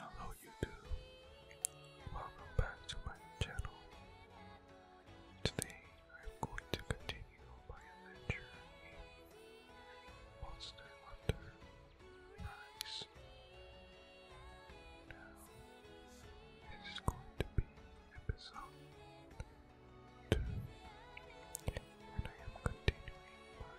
Hello, YouTube. Welcome back to my channel. Today, I'm going to continue my adventure in Monster Hunter Rise. Now, it is going to be episode 2. And I am continuing my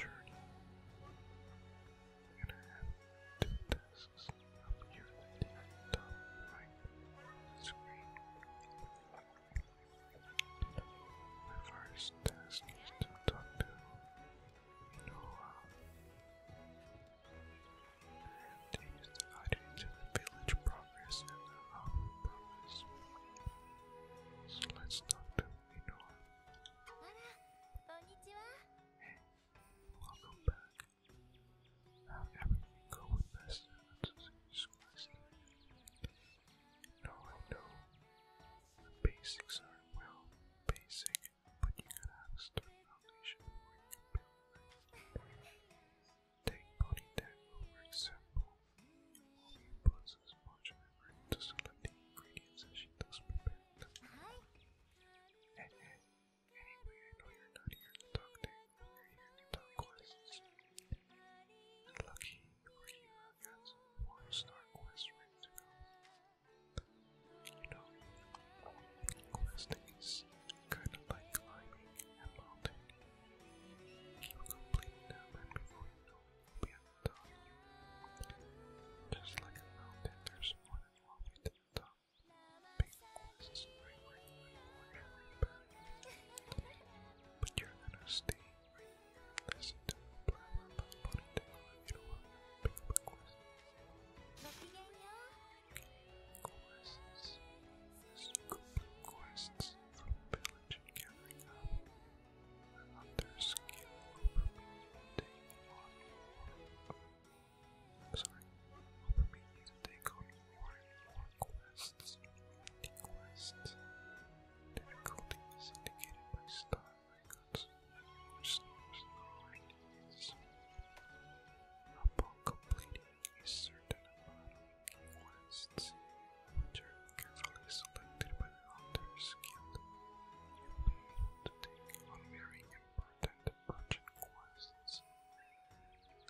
journey. I have two tasks up here at the screen. My first task is to talk to Noah. They is divided into the village progress and the house progress. So let's talk to Inoa. Hey, welcome back. How everything go with No, I know basics are well basic but you gotta have a sturdy foundation before it. Take body deck over example. You puts as much effort into selecting ingredients as she does prepare them. And, anyway, I know you're not here to talk to you're here to talk quests. And lucky for you, i one-star quests ready to go. You know, questing is kind of like climbing a mountain. You complete them and before know it, will be at the top. Just like a mountain, there's more than one way to the top. Big quests right where you But you're gonna stay listen to me blabber about you do Quests. Complete quests from village and gathering up another skill over me to take on more. Sorry, over me to take on more and more quests. difficulty indicated by star icons. Upon completing a certain amount of quests, which are carefully selected by the Hunter's Guild, you will be able to take on very important urgent quests.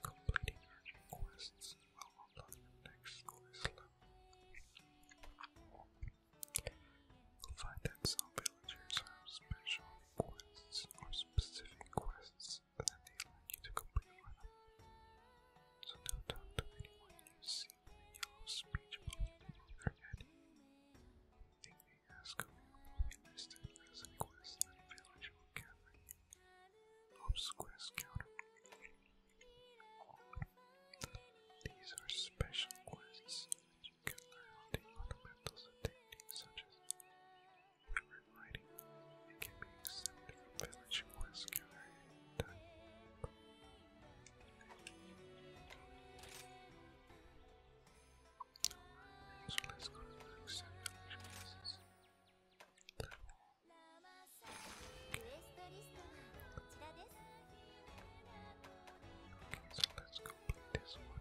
Completing urgent quests will unlock the next quest level. You'll find that zombie villagers have special quests or specific quests that they like you to complete So don't talk to anyone you see with a yellow speech bubble above their head. They may ask you if you a quest that a villager will gather you. Ops quest These are special quests you can learn the fundamentals of techniques such as word writing. It can be accepted from village quest gathering time. Alright, so let so let's complete this one.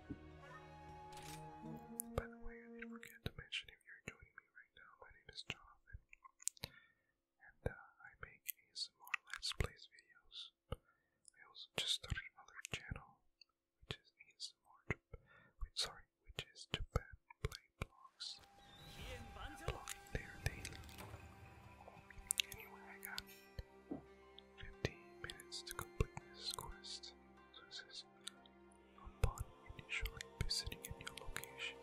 By the way, I did forget to mention if you're joining me right now, my name is Jonathan, and uh, I make ASMR Let's Plays videos. I also just started another channel, which is ASMR, wait, sorry, which is Japan Play Blogs. There daily. Anyway, I got 15 minutes to complete this quest. So this Upon initially visiting a new location,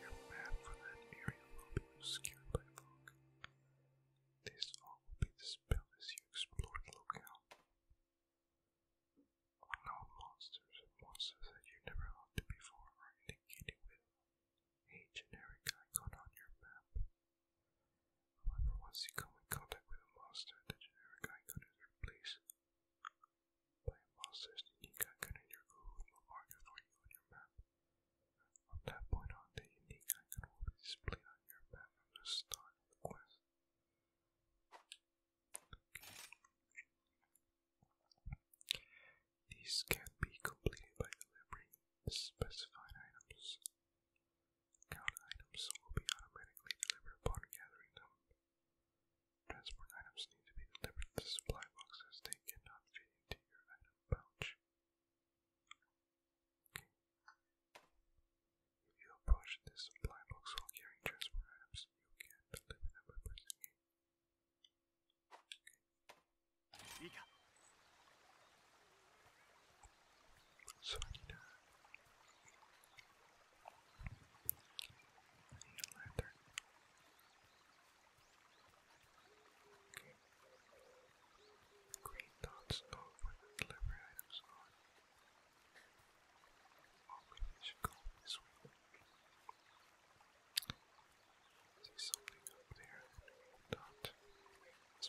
your map for that area will be obscured by fog. This all will be dispelled as you explore the locale. Unknown monsters and monsters that you never looked at before are indicated with a generic icon on your map. However, once you come in contact with a monster, the generic icon is replaced by a monster's unique icon and your Google will for you on your map. From that point on, the unique icon will be displayed on your map from the start of the quest. Okay. can be completed by delivering specified items. Count items will be automatically delivered upon gathering them. Transport items need to be delivered to supply box they cannot fit into your item pouch. If you approach this supply box while carrying transport items, you can deliver them by so I need to. I Okay. Green dots know where the items are. Oh, maybe this way. See something up there. Dot. It's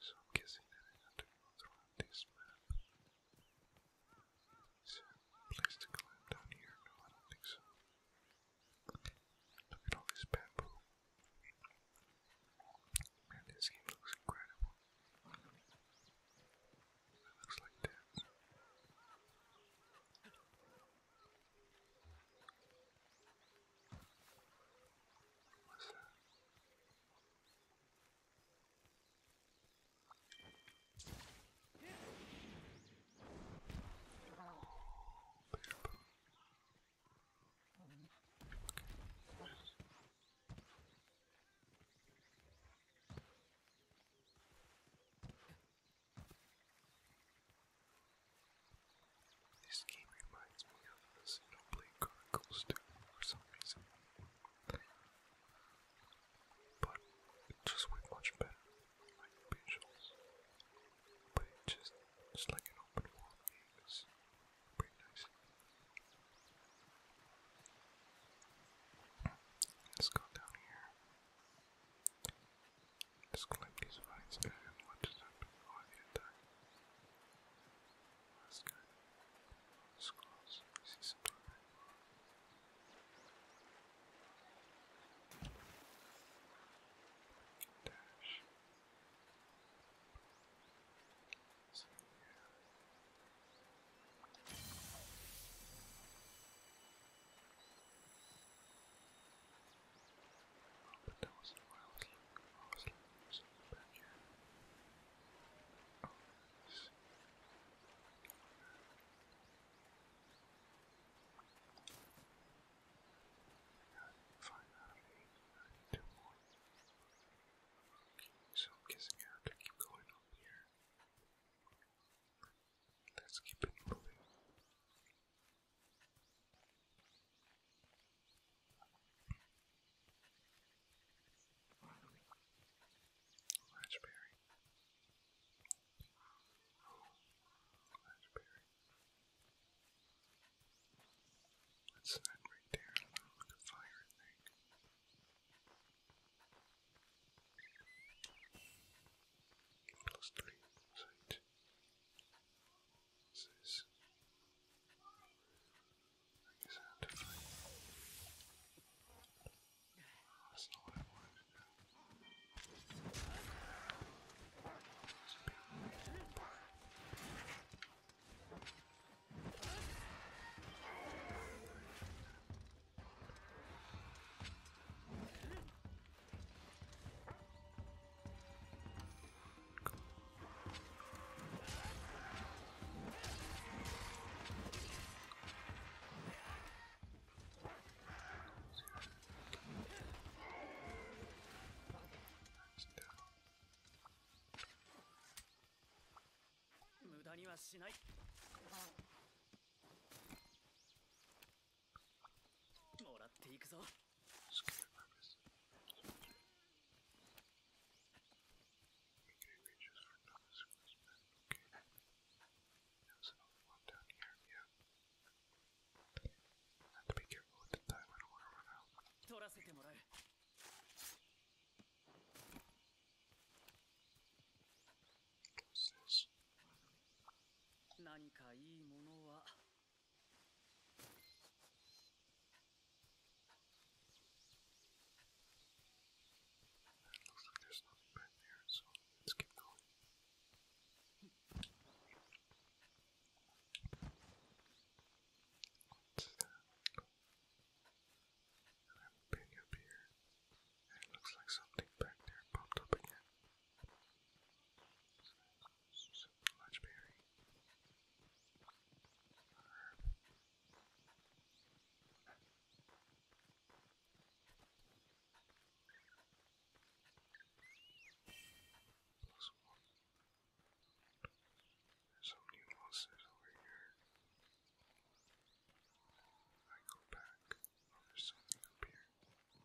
So I'm guessing that I have to go through this map. Is there to climb down here? No, I don't think so. Look at all this bamboo. Man, this game looks incredible. looks like that. What's that? This game reminds me of cameras you know play chronicles too for some reason. But it's just way much better. Like visuals. But it just it's like an open world game is pretty nice. Let's go down here. Let's collect these vines and watch this happen while they attack. Let's go. Squirrels. I see some doorway. Dash. So, yeah. Oh, but that wasn't what I was looking for. I was looking for something back here. Five out two more. Okay, so I'm guessing I have to keep going up here. Let's keep it moving. Raspberry. Oh, raspberry. That's that right there. Look at the fire thing. Plus three sight. What's this? I guess I have to find That's not what I wanted to do. 無駄にはしないもらっていくぞ There's another one down here, yeah. I have to be careful with the time, I don't want to run out. What's this? 何かいいものは It looks like there's nothing back there, so let's keep going. And I'm bending up here. And it looks like something back there popped up again. So, some berry. Plus one. There's some new monsters over here. I go back. Oh, there's something up here. Up here, maybe.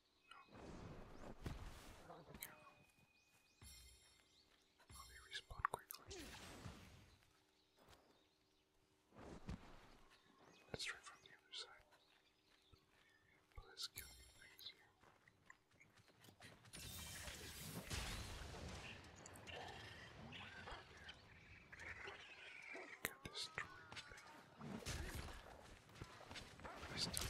No. I'll be respawn quickly. Let's try from the other side. But let's kill these things here. Get destroyed. I still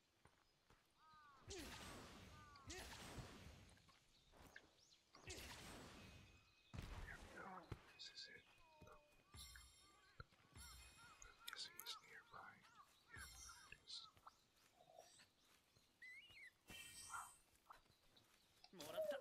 we go. This is it. Oh. I'm guessing it's nearby. Yeah, there it is. Wow. Okay, one more.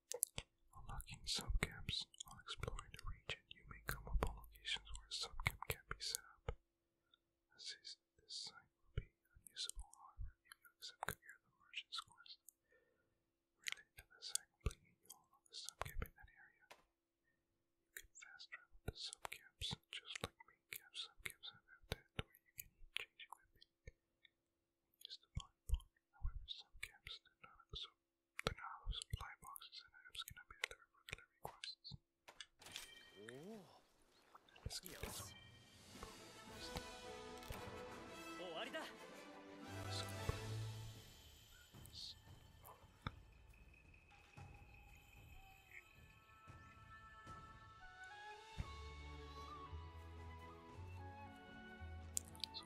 Unlocking subcamps. While exploring the region, you may come upon locations where a subcamp can be set up. As is, this site will be unusable, however, if you accept Kagir the Merchant's Quest. Related to this site completely, you'll unlock a subcamp in that area. You can fast travel to subcamps, just like main camp subcamps have that, where you can change equipment, use the body part. However, subcamps do not absorb don't know how supply boxes and apps can be delivered regular requests. Let's get this one. So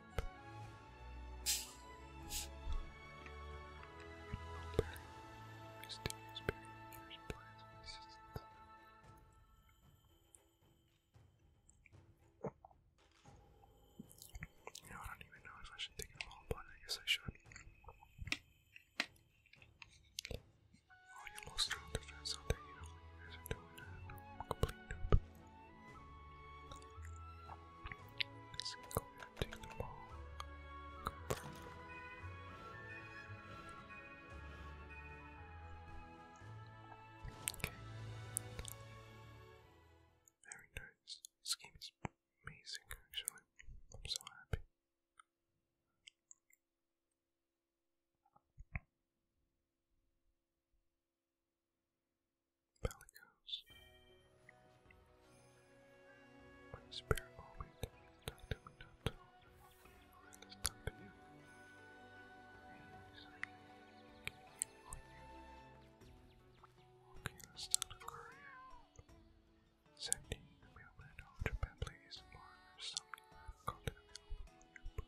You I don't even know if I should take them but I guess I should. Oh, you lost strong defense out there, you know what doing. i complete noob. Take the Very nice. This game is amazing, actually. I'm so happy. Bellicose. My spirit always stuck to me, Okay, let's start the courier. Sending mailman of Japan, please, or something. i the mailman.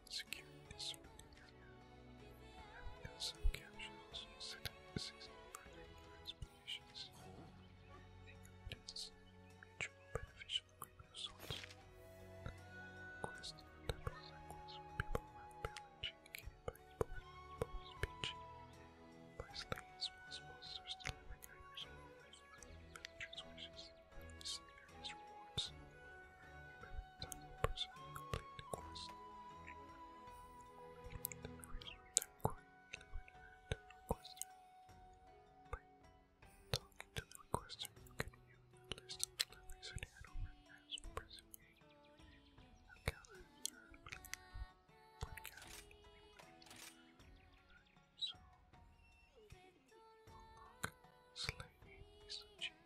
security disorder. And some captions set up the season further for explanations. Incompetence, mutual beneficial agreement of sorts. Quest that was a quest for people who have been educated by his boys, boys, speech. By slaying small monsters to living items, and villagers' wishes, and various rewards. By person complete the quest. The reason that quietly went to the requester. By talking to the requester, you can the list of deliveries and handover as pressing A. A calendar per calendar. So, unlock slaying is achieved.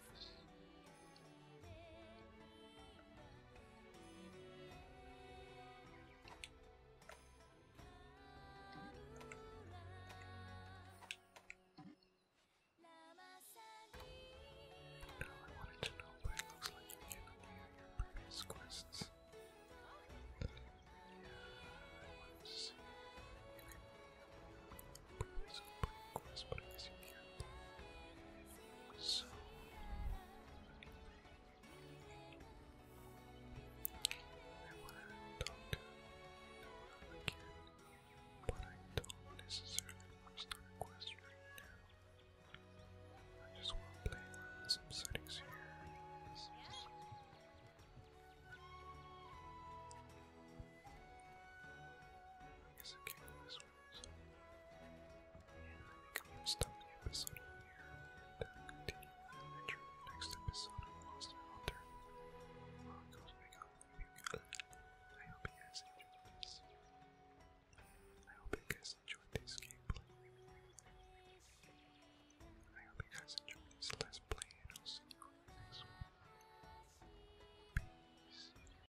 No, I wanted to know what it looks like in your previous quests. Yeah, I wanted to see. Previous quest, but I you can't so I want to talk to Nora again, but I don't necessarily want to start a quest right now. I just want to play around some settings here. I guess I can do this and I think I'm going the episode here and continue in the next episode of Monster Hunter. Well, it goes back I hope you guys enjoyed this. I hope you guys enjoyed this gameplay. I hope you guys enjoyed this let play, and I'll see you next one. Peace.